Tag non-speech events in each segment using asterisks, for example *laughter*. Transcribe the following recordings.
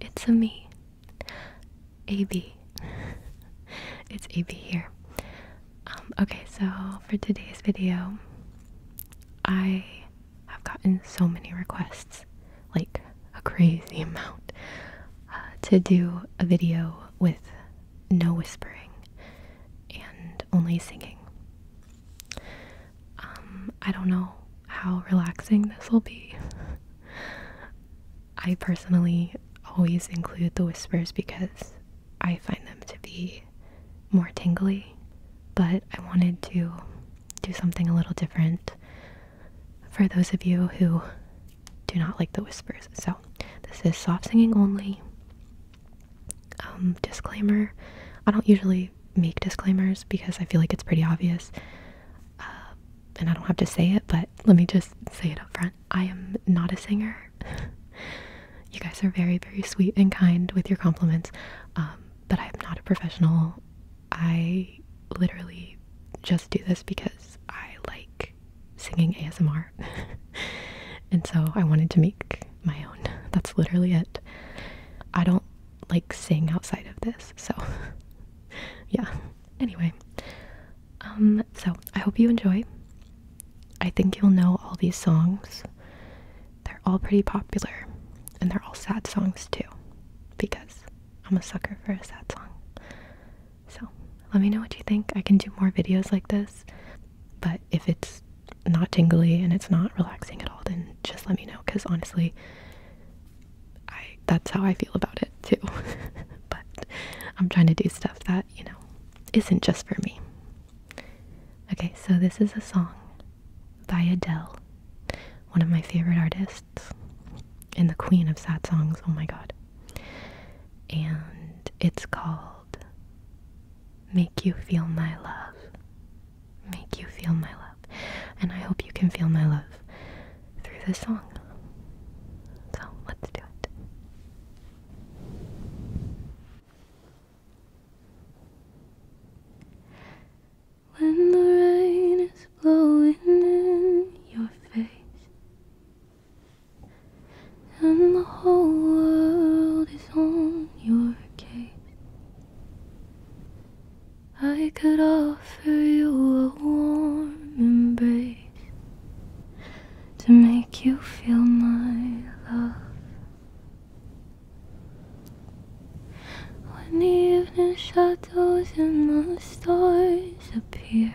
It's a me. AB. *laughs* it's AB here. Um, okay, so for today's video, I have gotten so many requests, like a crazy *laughs* amount, uh, to do a video with no whispering and only singing. Um, I don't know how relaxing this will be. I personally always include the whispers because I find them to be more tingly, but I wanted to do something a little different for those of you who do not like the whispers. So, this is soft singing only. Um, disclaimer I don't usually make disclaimers because I feel like it's pretty obvious. Uh, and I don't have to say it, but let me just say it up front. I am not a singer. *laughs* you guys are very, very sweet and kind with your compliments, um, but I'm not a professional. I literally just do this because I like singing ASMR. *laughs* and so I wanted to make my own. That's literally it. I don't like sing outside of this. So *laughs* yeah. Anyway. Um so I hope you enjoy. I think you'll know all these songs. They're all pretty popular and they're all sad songs too because I'm a sucker for a sad song. So, let me know what you think. I can do more videos like this, but if it's not tingly and it's not relaxing at all, then just let me know because honestly, I that's how I feel about it too. *laughs* but I'm trying to do stuff that, you know, isn't just for me. Okay, so this is a song by Adele, one of my favorite artists and the queen of sad songs. Oh my god. And it's called Make You Feel My Love make you feel my love. And I hope you can feel my love through this song. So let's do it. When the rain is blowing in your face, and the whole world is on your case, I could offer you a warm embrace to make you feel my love. When the evening shadows and the stars appear,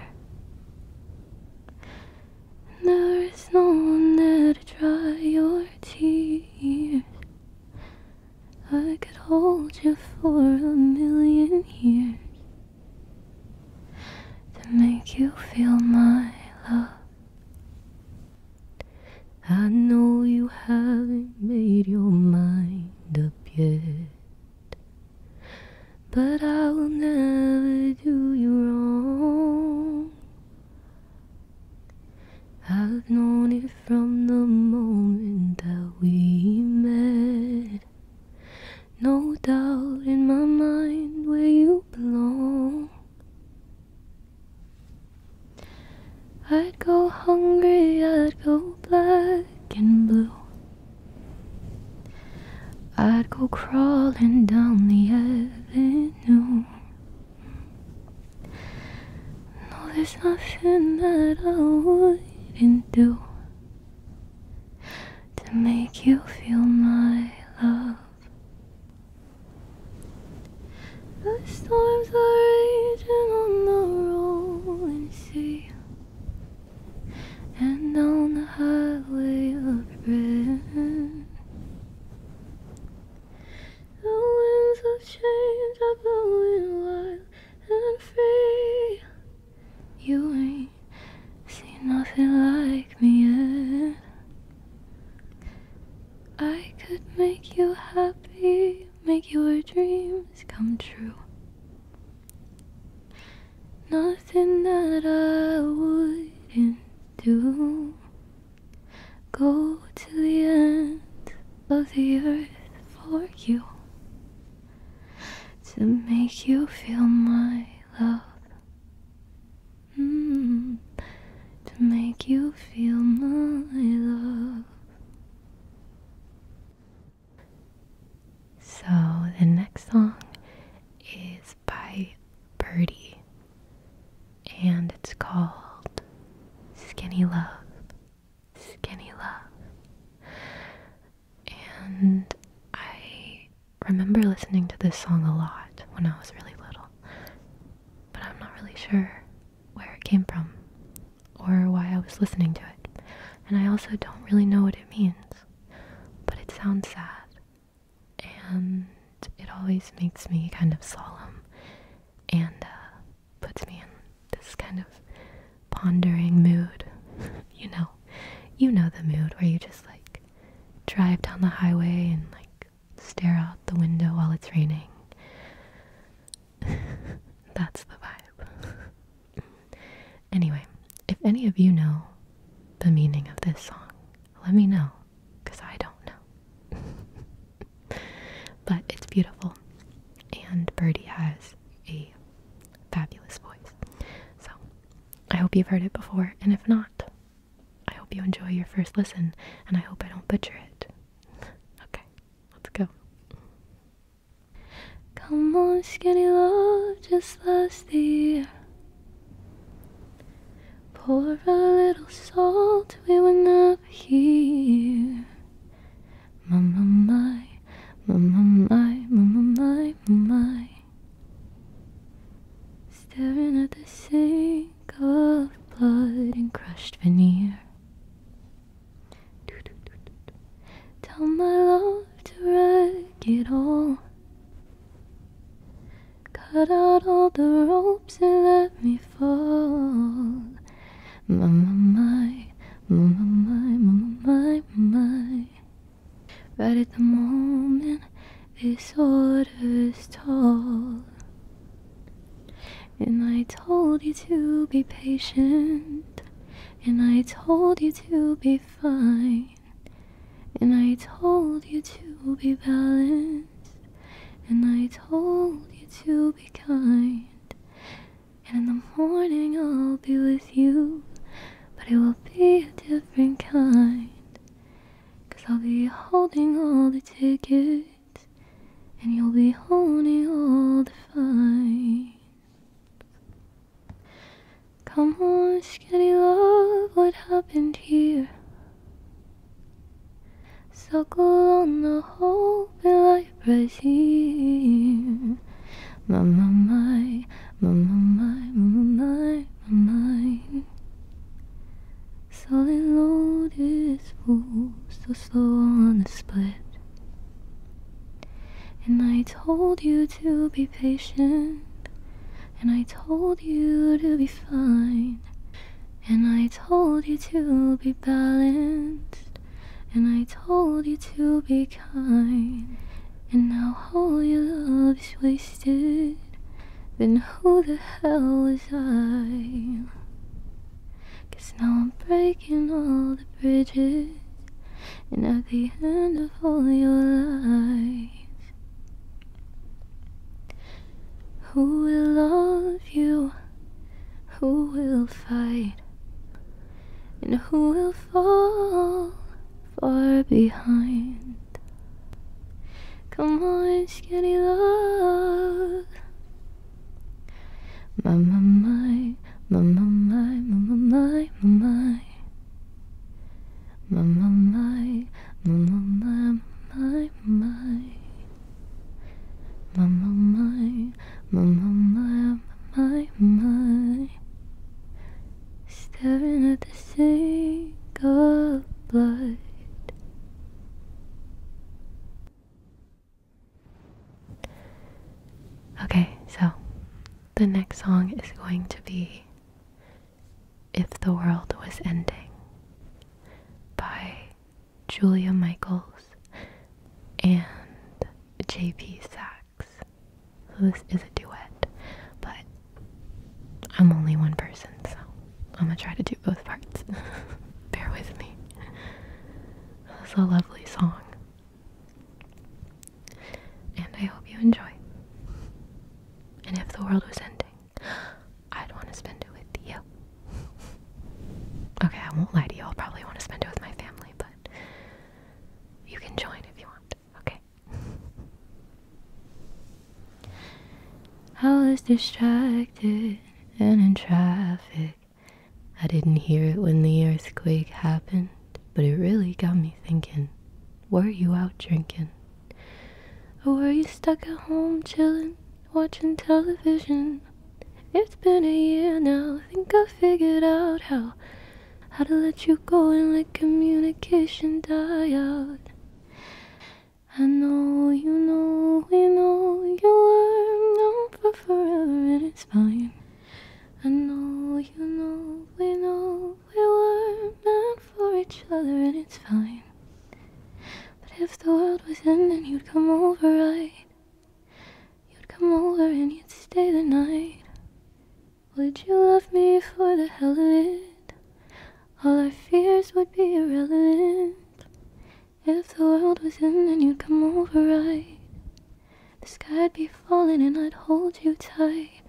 and there is no one there to dry your tears. I could hold you for a million years to make you feel my love. I know you haven't made your mind up yet, but I will never do you wrong. I've known it from the moment that we met. No doubt in my mind where you belong. I'd go hungry, I'd go black and blue. I'd go crawling down the avenue. No, there's nothing that I wouldn't do to make you feel my love. The storms are raging on the rolling sea and on the highway of rain. The winds of change are blowing wild and free. You ain't seen nothing like me yet. I could make you happy, make your dreams come true. Nothing that I wouldn't do. Go to the end of the earth for you to make you feel my love. Mm-hmm. to make you feel my love. So the next song is by Birdie and it's called Skinny Love. Skinny Love. And I remember listening to this song a lot when I was really little, but I'm not really sure where it came from or why I was listening to it. And I also don't really know what it means, but it sounds sad and it always makes me kind of solemn and uh, puts me in this kind of pondering mood. *laughs* you know, you know the mood where you just like drive down the highway and like stare out the window while it's raining. *laughs* That's the vibe. *laughs* anyway, if any of you know the meaning of this song, let me know because I don't know but it's beautiful. And Birdie has a fabulous voice. So I hope you've heard it before, and if not, I hope you enjoy your first listen, and I hope I don't butcher it. *laughs* okay, let's go. Come on, skinny love, just last the year. Pour a little salt, we were not here. Mama my, mama my, mama my, my. Staring at the sink of blood and crushed veneer. Do, do, do, do, do. Tell my love to wreck it all. Cut out all the ropes and let me fall. My, my, my, my, my, my, my. Right at the moment, this order's tall. And I told you to be patient. And I told you to be fine. And I told you to be balanced. And I told you to be kind. And in the morning I'll be with you, but it will be a different kind. Cause I'll be holding all the tickets, and you'll be holding all the fines. Come on, skinny love, what happened here? Suckle on the hope and life right here. My, my, my, my, my, my, my, my, my. Solid load is full, so slow on the split. And I told you to be patient, and I told you to be fine. And I told you to be balanced, and I told you to be kind. And now all your love is wasted. Then who the hell was I? Cause now I'm breaking all the bridges, and at the end of all your lies. Who will love you who will fight and who will fall far behind? Come on, skinny love. My, my, my, my, my, my, my, my, my, my, my, my, my, my, my, my, my, my, my, my, my, my, my, my, my, my. Staring at the sink of blood. Okay, so the next song is going to be If the World Was Ending by Julia Michaels, and JP Sachs. So this is a duet, but I'm only one person, so I'm gonna try to do both parts. *laughs* Bear with me. It's a lovely song, and I hope you enjoy. And if the world was ending, I'd want to spend it with you. okay, I won't lie to you. I'll probably want to spend it with my family, but you can join if you want. Okay. I was distracted and in traffic. I didn't hear it when the earthquake happened, but it really got me thinking. Were you out drinking? Or were you stuck at home chillin'? watching television. It's been a year now. I think I figured out how how to let you go and let communication die out. I know you know we know you were known for forever and it's fine. I know you know we know we were meant for each other and it's fine. But if the world was ending, you'd come over, right? You'd come over and you'd stay the night. Would you love me for the hell of it? All our fears would be irrelevant. If the world was ending, you'd come over, right? The sky'd be falling and I'd hold you tight.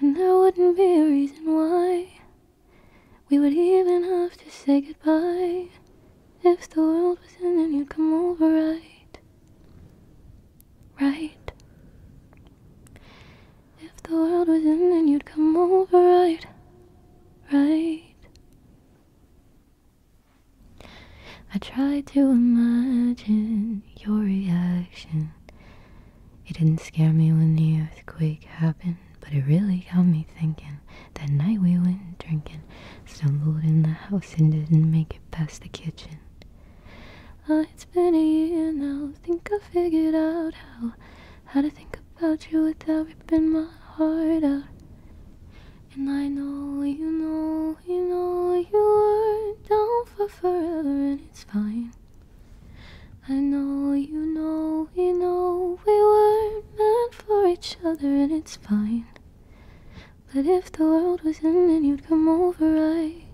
And there wouldn't be a reason why. We would even have to say goodbye. If the world was in, and you'd come over, right? Right? If the world was in, and you'd come over, right? Right? I tried to imagine your reaction. It didn't scare me when the earthquake happened but it really got me thinking. That night we went drinking, stumbled in the house and didn't make it past the kitchen. Oh, it's been a year now. Think I figured out how how to think about you without ripping my heart out. And I know you know you know you were down for forever, and it's fine. I know you know we know we weren't meant for each other and it's fine. But if the world was ending, you'd come over, right?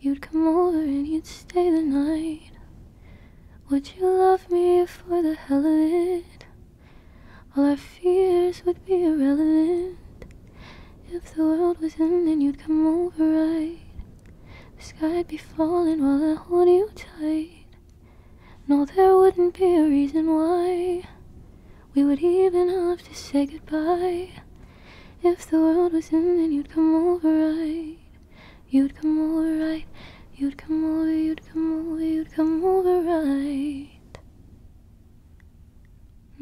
You'd come over and you'd stay the night. Would you love me for the hell of it? All our fears would be irrelevant. If the world was ending, you'd come over, right? The sky'd be falling while I hold you tight. No, there wouldn't be a reason why we would even have to say goodbye. If the world was ending, you'd come over right. You'd come over right. You'd come over, you'd come over, you'd come over right.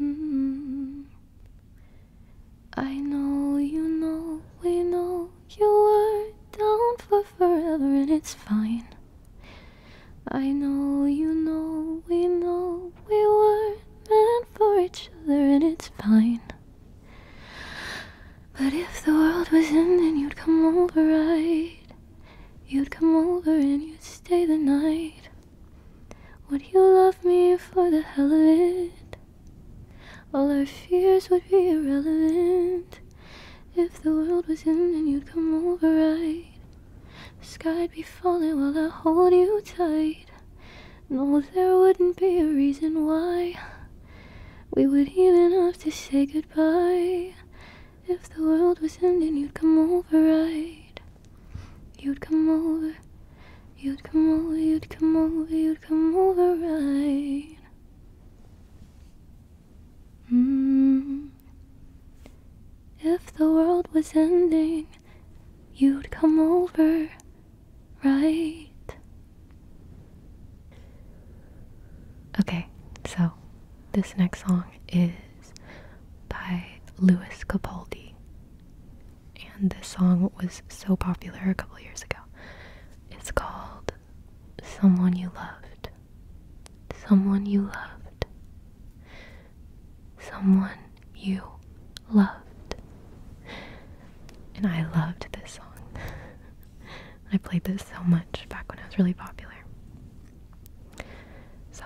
Mm-hmm. I know you know, we know you are down for forever and it's fine. I know you know we know we were meant for each other and it's fine. But if the world was ending, you'd come over, right? You'd come over and you'd stay the night. Would you love me for the hell of it? All our fears would be irrelevant if the world was ending. and you'd come over right. The sky'd be falling while I hold you tight. No, there wouldn't be a reason why we would even have to say goodbye. If the world was ending, you'd come over right. You'd come over, you'd come over, you'd come over, you'd come over right. Hmm. If the world was ending, you'd come over, right? Okay, so this next song is by Louis Capaldi. And this song was so popular a couple years ago. It's called someone you loved, someone you loved, someone you loved. And I loved this song. *laughs* I played this so much back when it was really popular. So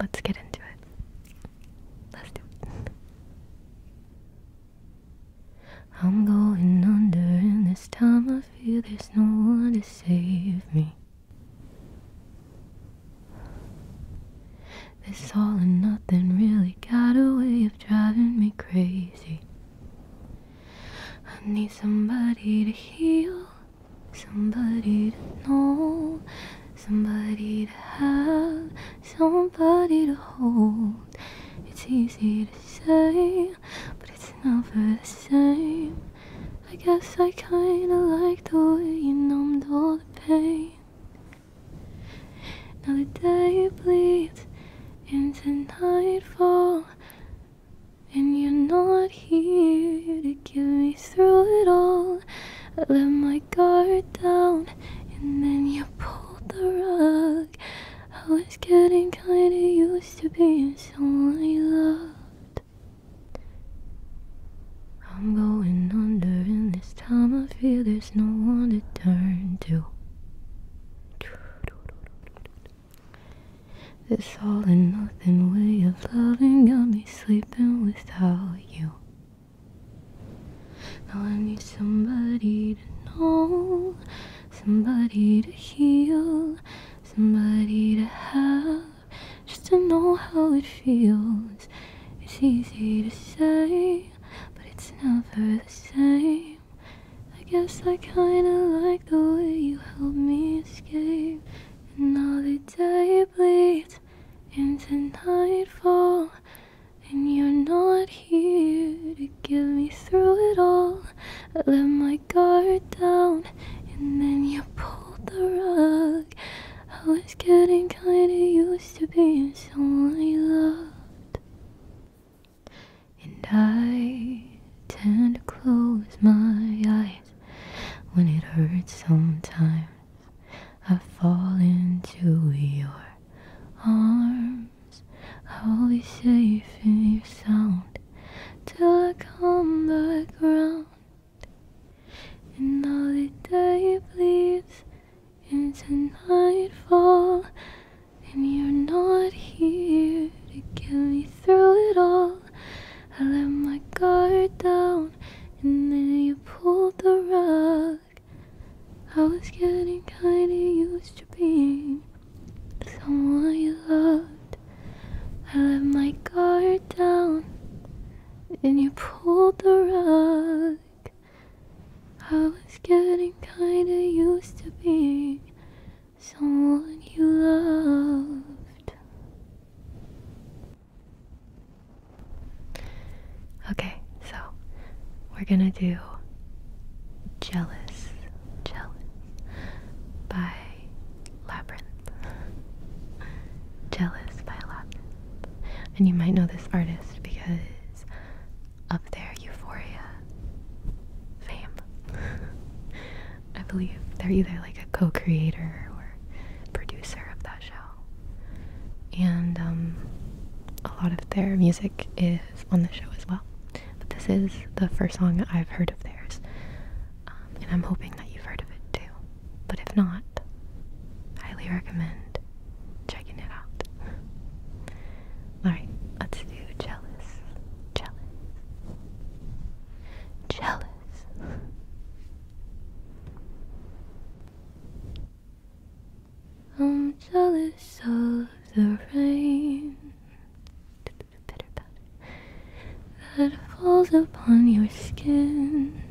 let's get into it. Let's do it. I'm going under, and this time I feel there's no one to save me. This all and nothing really got a way of driving me crazy. I need somebody to heal, somebody to know, somebody to have, somebody to hold. It's easy to say, but it's never the same. I guess I kinda like the way you numbed all the pain. Now the day bleeds into nightfall, and you're not here to get me through it all. I let my guard down, and then you pulled the rug I was getting kinda used to being someone I loved. I'm going under, and this time I feel there's no one to turn to. This all and nothing way of loving got me sleeping without you. Now I need somebody to know, somebody to heal, somebody to have, just to know how it feels. It's easy to say, but it's never the same. I guess I kinda like the way you help me escape. And now the day bleeds into nightfall. And you're not here to get me through it all. I let my guard down, and then you pulled the rug. I was getting kinda used to being someone you loved. And I tend to close my eyes when it hurts sometimes. I fall into your arms. I'll be safe in your sound Till I come back around. And all the day bleeds into nightfall And you're not here to get me through it all I let my guard down and then you pulled the rug I was getting kinda used to being someone you loved. I let my guard down, and you pulled the rug. I was getting kinda used to being someone you loved. Okay, so we're gonna do Jealous, Jealous by Labyrinth. Jealous by Labyrinth. And you might know this artist because up there, Euphoria fame. I believe they're either like a co creator or producer of that show. And um, a lot of their music is on the show as well. But this is the first song I've heard of theirs, um, and I'm hoping that you've heard of it too. But if not, highly recommend checking it out. *laughs* Alright, let's do Jealous. Jealous. Jealous. *laughs* I'm jealous of the rain that falls upon your skin.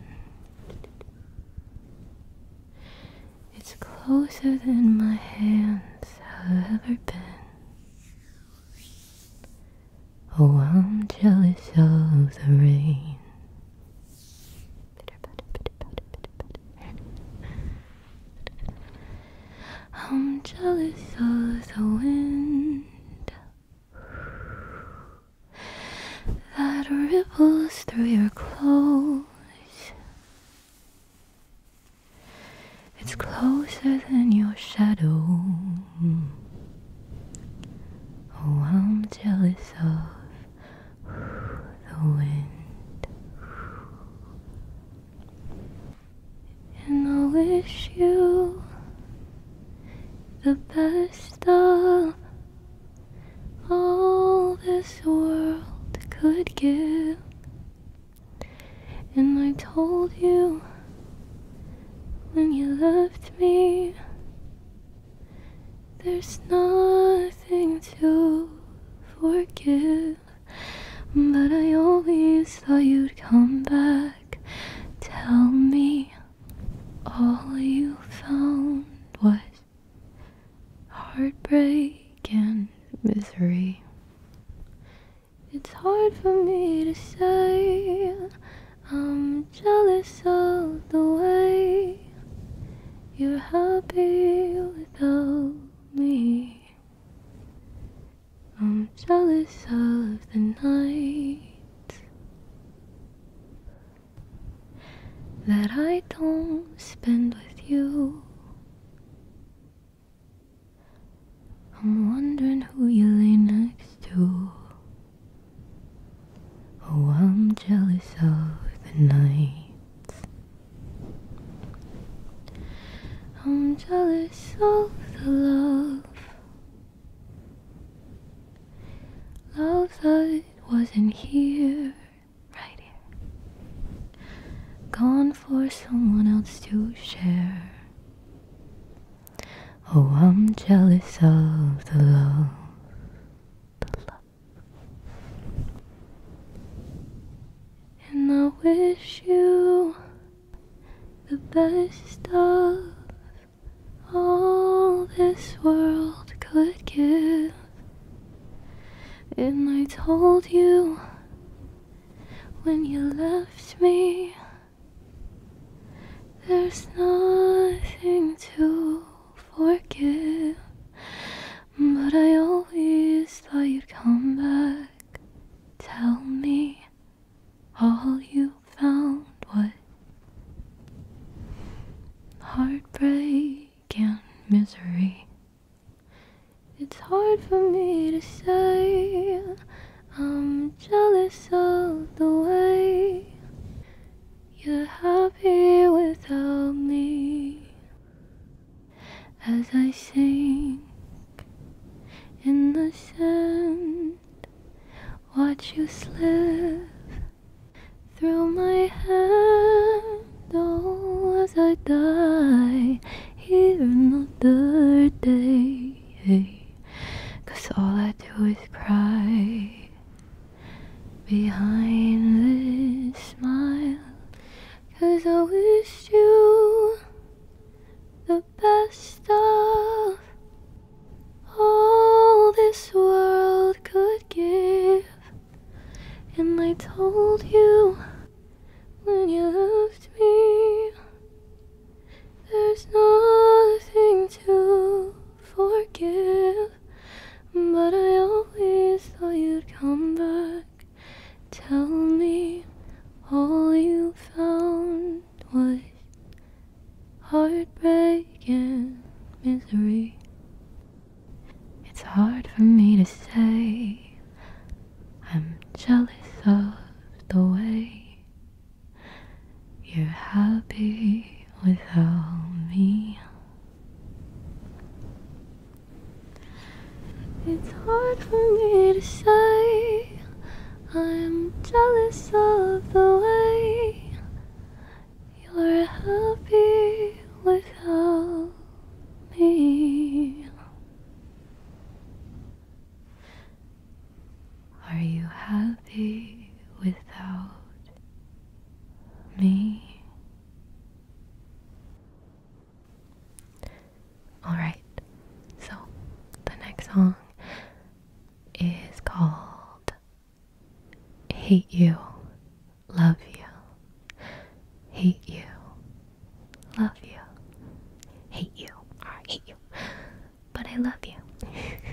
It's closer than my hands have ever been. Oh, I'm jealous of the rain *laughs* I'm jealous of the wind that ripples through your clothes. It's closer than your shadow. Oh, I'm jealous of the wind. And I wish you the best of all this world could give. And I told you when you left me there's nothing to forgive, but I always thought you'd come back. Tell me all you found was heartbreak and misery. It's hard for me to say, I'm jealous of the way you're happy without me. I'm jealous of the night that I don't spend with you. I'm wondering who you lay next to. Oh, I'm jealous of the night I'm jealous of the love, love that wasn't here, right here, gone for someone else to share. Oh, I'm jealous of the love, the love, and I wish you the best of all this world could give. And I told you when you left me, there's nothing to forgive. But I always thought you'd come back. Tell me all you found was heartbreak and misery. It's hard for me to say. I'm jealous of the way you're happy without me as I sink in the sand. Watch you slip through my hand. Oh, as I die here another day. Cause all I do is cry behind this smile. Cause I wished you the best of all this world could give. And I told you when you left me, there's nothing to forgive. But I always thought you'd come back. Tell me all you found was heartbreak and misery. It's hard for me to say, I'm jealous of the way you're happy without me. It's hard for me to say I'm jealous of the way you're happy without me. Are you happy without me? Alright, so the next song is called Hate You, Love You. Hate You, Love You. Hate You, I hate you, but I love you. *laughs*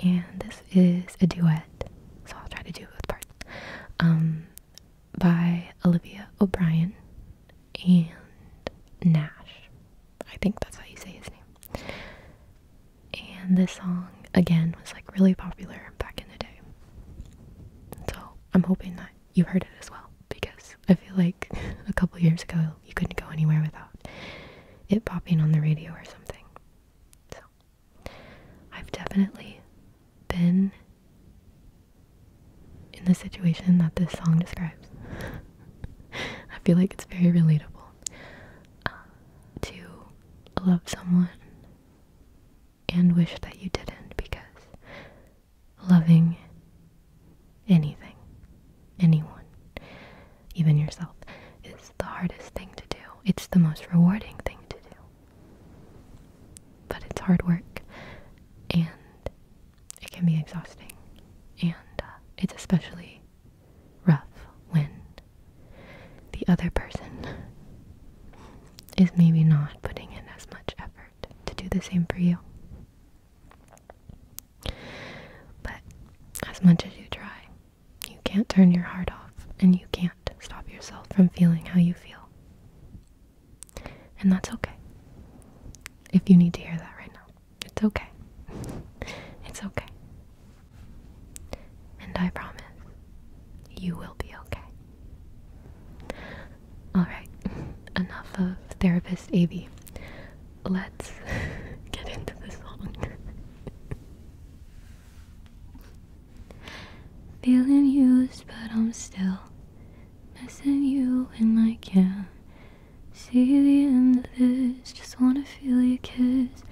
and this is a duet so I'll try to do it both parts, um, by Olivia O'Brien and Nash. I think that's how you say his name. And this song, again, was like really popular back in the day. So I'm hoping that you heard it as well because I feel like *laughs* a couple years ago you couldn't go anywhere without it popping on the radio or something. So I've definitely been in the situation that this song describes. *laughs* I feel like it's very relatable uh, to love someone and wish that you didn't because loving anything, anyone, even yourself, is the hardest thing to do it's the most rewarding thing to do. But it's hard work and it can be exhausting and uh, it's especially rough when the other person is maybe not putting in as much effort to do the same for you. But as much as you try, you can't turn your heart off, and you can't stop yourself from feeling how you feel. And that's okay. If you need to hear that right now, it's okay. *laughs* It's okay. And I promise you will be okay. Alright, *laughs* enough of Therapist Avi. Let's *laughs* get into the song. Feeling used, but I'm still missing you and I can't see the end of this. Just wanna feel your kiss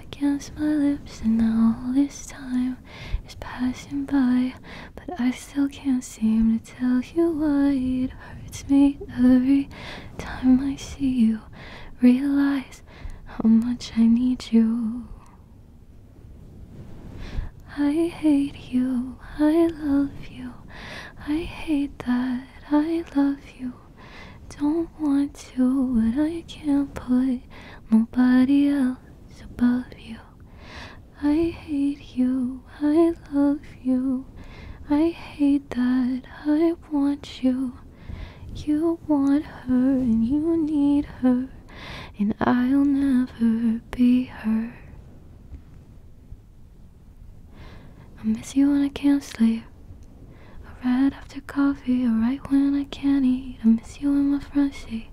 against my lips, and now all this time is passing by, but I still can't seem to tell you why it hurts me every time I see you. Realize how much I need you. I hate you, I love you. I hate that I love you. Don't want to, but I can't put nobody else above you. I hate you, I love you. I hate that I want you. You want her and you need her, and I'll never be her. I miss you when I can't sleep. Or right after coffee, or right when I can't eat. I miss you in my front seat.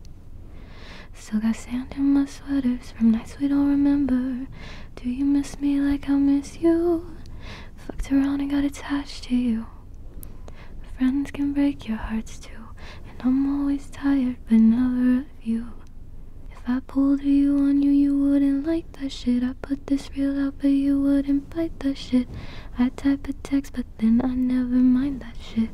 Still got sand in my sweaters from nights we don't remember. Do you miss me like I miss you? Fucked around and got attached to you. Friends can break your hearts too, and I'm always tired, but never of you. If I pulled you on you, you wouldn't like that shit. I put this real out, but you wouldn't bite that shit. I type a text, but then I never mind that shit.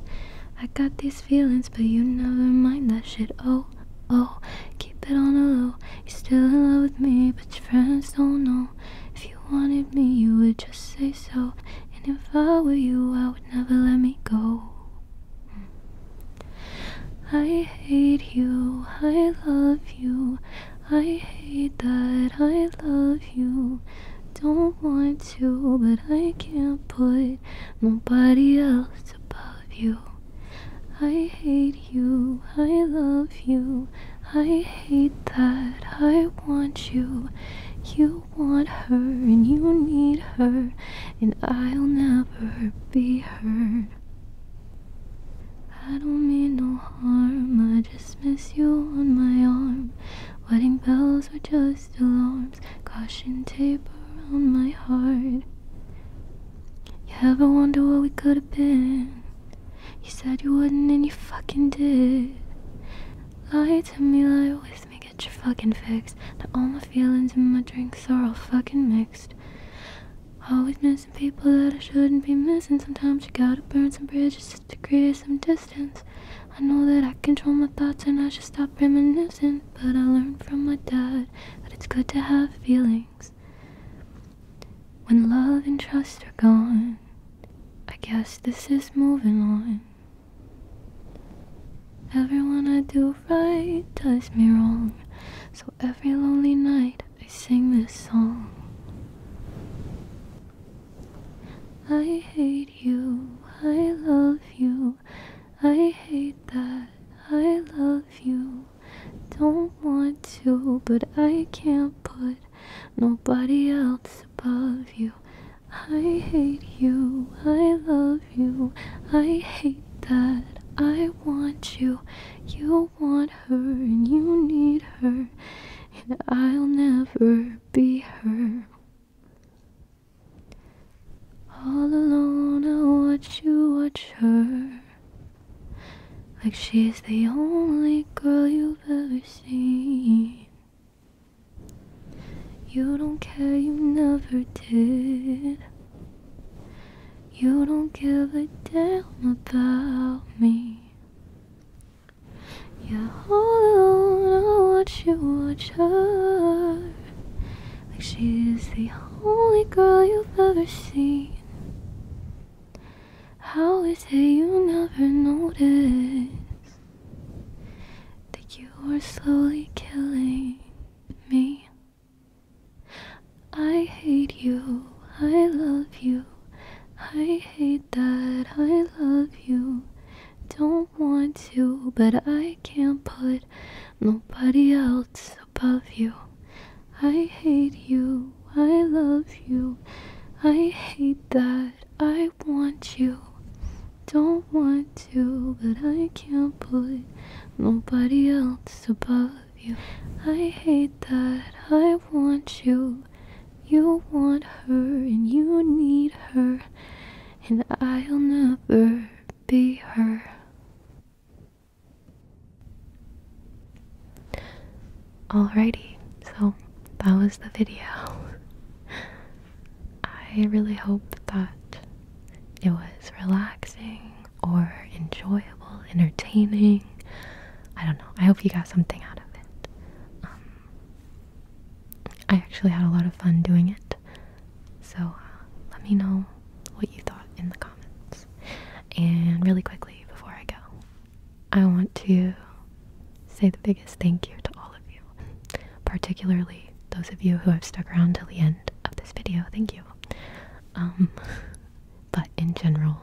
I got these feelings, but you never mind that shit. Oh, oh, keep it on the low. You're still in love with me, but your friends don't know. If you wanted me, you would just say so. And if I were you, I would never let me go. I hate you, I love you. I hate that I love you. Don't want to, but I can't put nobody else above you. I hate you, I love you. I hate that. I want you. You want her and you need her, and I'll never be her. I don't mean no harm, I just miss you on my arm. Wedding bells were just alarms, caution tape around my heart. You ever wonder what we could have been? You said you wouldn't and you fucking did. Lie to me, lie with me, get your fucking fix. Now all my feelings and my drinks are all fucking mixed. Always missing people that I shouldn't be missing. Sometimes you gotta burn some bridges to create some distance. I know that I control my thoughts and I should stop reminiscing. But I learned from my dad that it's good to have feelings. When love and trust are gone, I guess this is moving on. Everyone I do right does me wrong, so every lonely night I sing this song. I hate you, I love you, I hate that, I love you. Don't want to, but I can't put Nobody else above you. I hate you. I love you. I hate that. I want you. You want her and you need her. And I'll never be her. All alone, I watch you watch her. Like she's the only girl you you don't care, you never did. You don't give a damn about me. You're all alone, I watch you watch her. Like she the only girl you've ever seen. How is it you never notice that you are slowly killing me? I hate you, I love you, I hate that, I love you. Don't want to, but I can't put nobody else above you. I hate you, I love you. I hate that. I want you. Don't want to, but I can't put nobody else above you. I hate that. I want you. You want her and you need her, and I'll never be her. Alrighty, so that was the video. *laughs* I really hope that it was relaxing or enjoyable, entertaining. I don't know. I hope you got something out of it. Um, I actually had a lot of fun doing it. So uh, let me know what you thought in the comments. And really quickly before I go, I want to say the biggest thank you to all of you, particularly those of you who have stuck around till the end of this video. Thank you. Um, *laughs* but in general,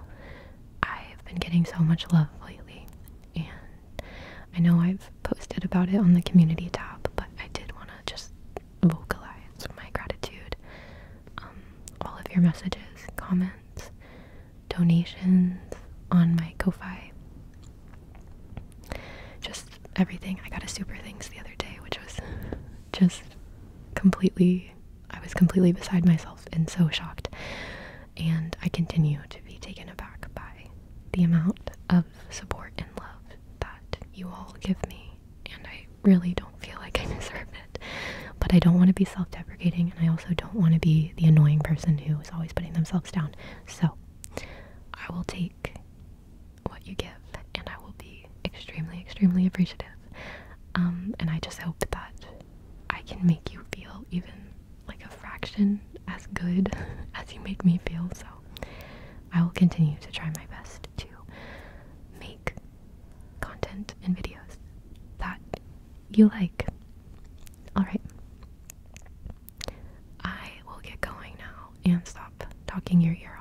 I've been getting so much love lately, and I know I've posted about it on the community tab, but I did want to just vocalize my gratitude. Um, all of your messages, comments, donations on my Ko-fi. Just everything. I got a super thanks the other day, which was just completely I was completely beside myself and so shocked. And I continue to be taken aback by the amount of support and love that you all give me. And I really don't feel like I *laughs* deserve it. But I don't want to be self deprecating, and I also don't want to be the annoying person who is always putting themselves down. So I will take what you give, and I will be extremely, extremely appreciative. Um, and I just hope that I can make you feel even like a fraction as good *laughs* as you make me feel. So I will continue to try my best to make content and videos that you like. Alright. I will get going now and stop talking your ear off.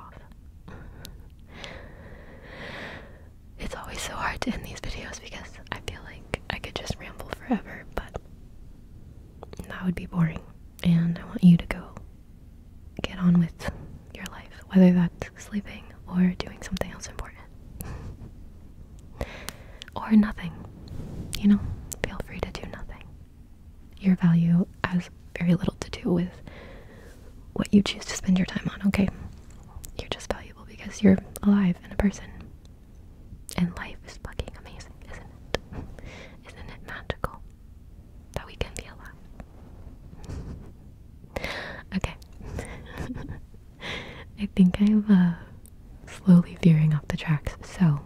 it's always so hard to end these videos because I feel like I could just ramble forever, but that would be boring. And I want you to go get on with your life, whether that's sleeping or doing something else important. *laughs* or nothing. You know, feel free to do nothing. Your value has very little to do with what you choose to spend your time on, okay? You're just valuable because you're alive and a person. And life is fucking amazing, isn't it? *laughs* Isn't it magical that we can be alive? *laughs* okay. I think I'm uh, slowly veering off the tracks, so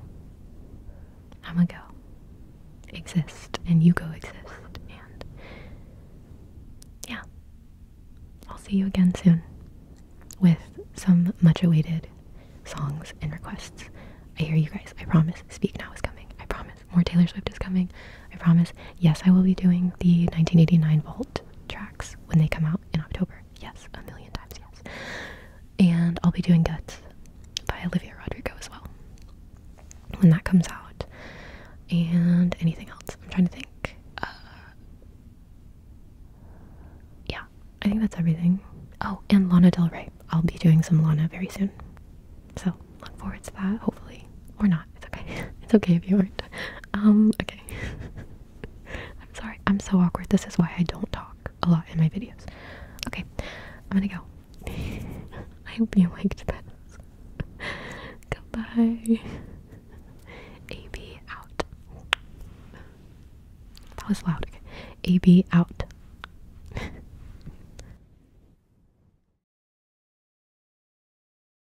I'm gonna go exist and you go exist, and yeah, I'll see you again soon with some much awaited songs and requests. I hear you guys, I promise. Speak Now is coming, I promise. More Taylor Swift is coming, I promise. Yes, I will be doing the 1989 vault tracks when they come out in October. Yes, a million times, yes. And I'll be doing Guts by Olivia Rodrigo as well when that comes out. And anything else? I'm trying to think. Uh, yeah, I think that's everything. Oh, and Lana Del Rey. I'll be doing some Lana very soon. So look forward to that, hopefully. Or not. It's okay. *laughs* It's okay if you aren't. Um, okay. *laughs* I'm sorry. I'm so awkward. This is why I don't talk a lot in my videos. Okay. I'm gonna go. *laughs* I hope you liked this. Goodbye. AB out. That was loud. AB out.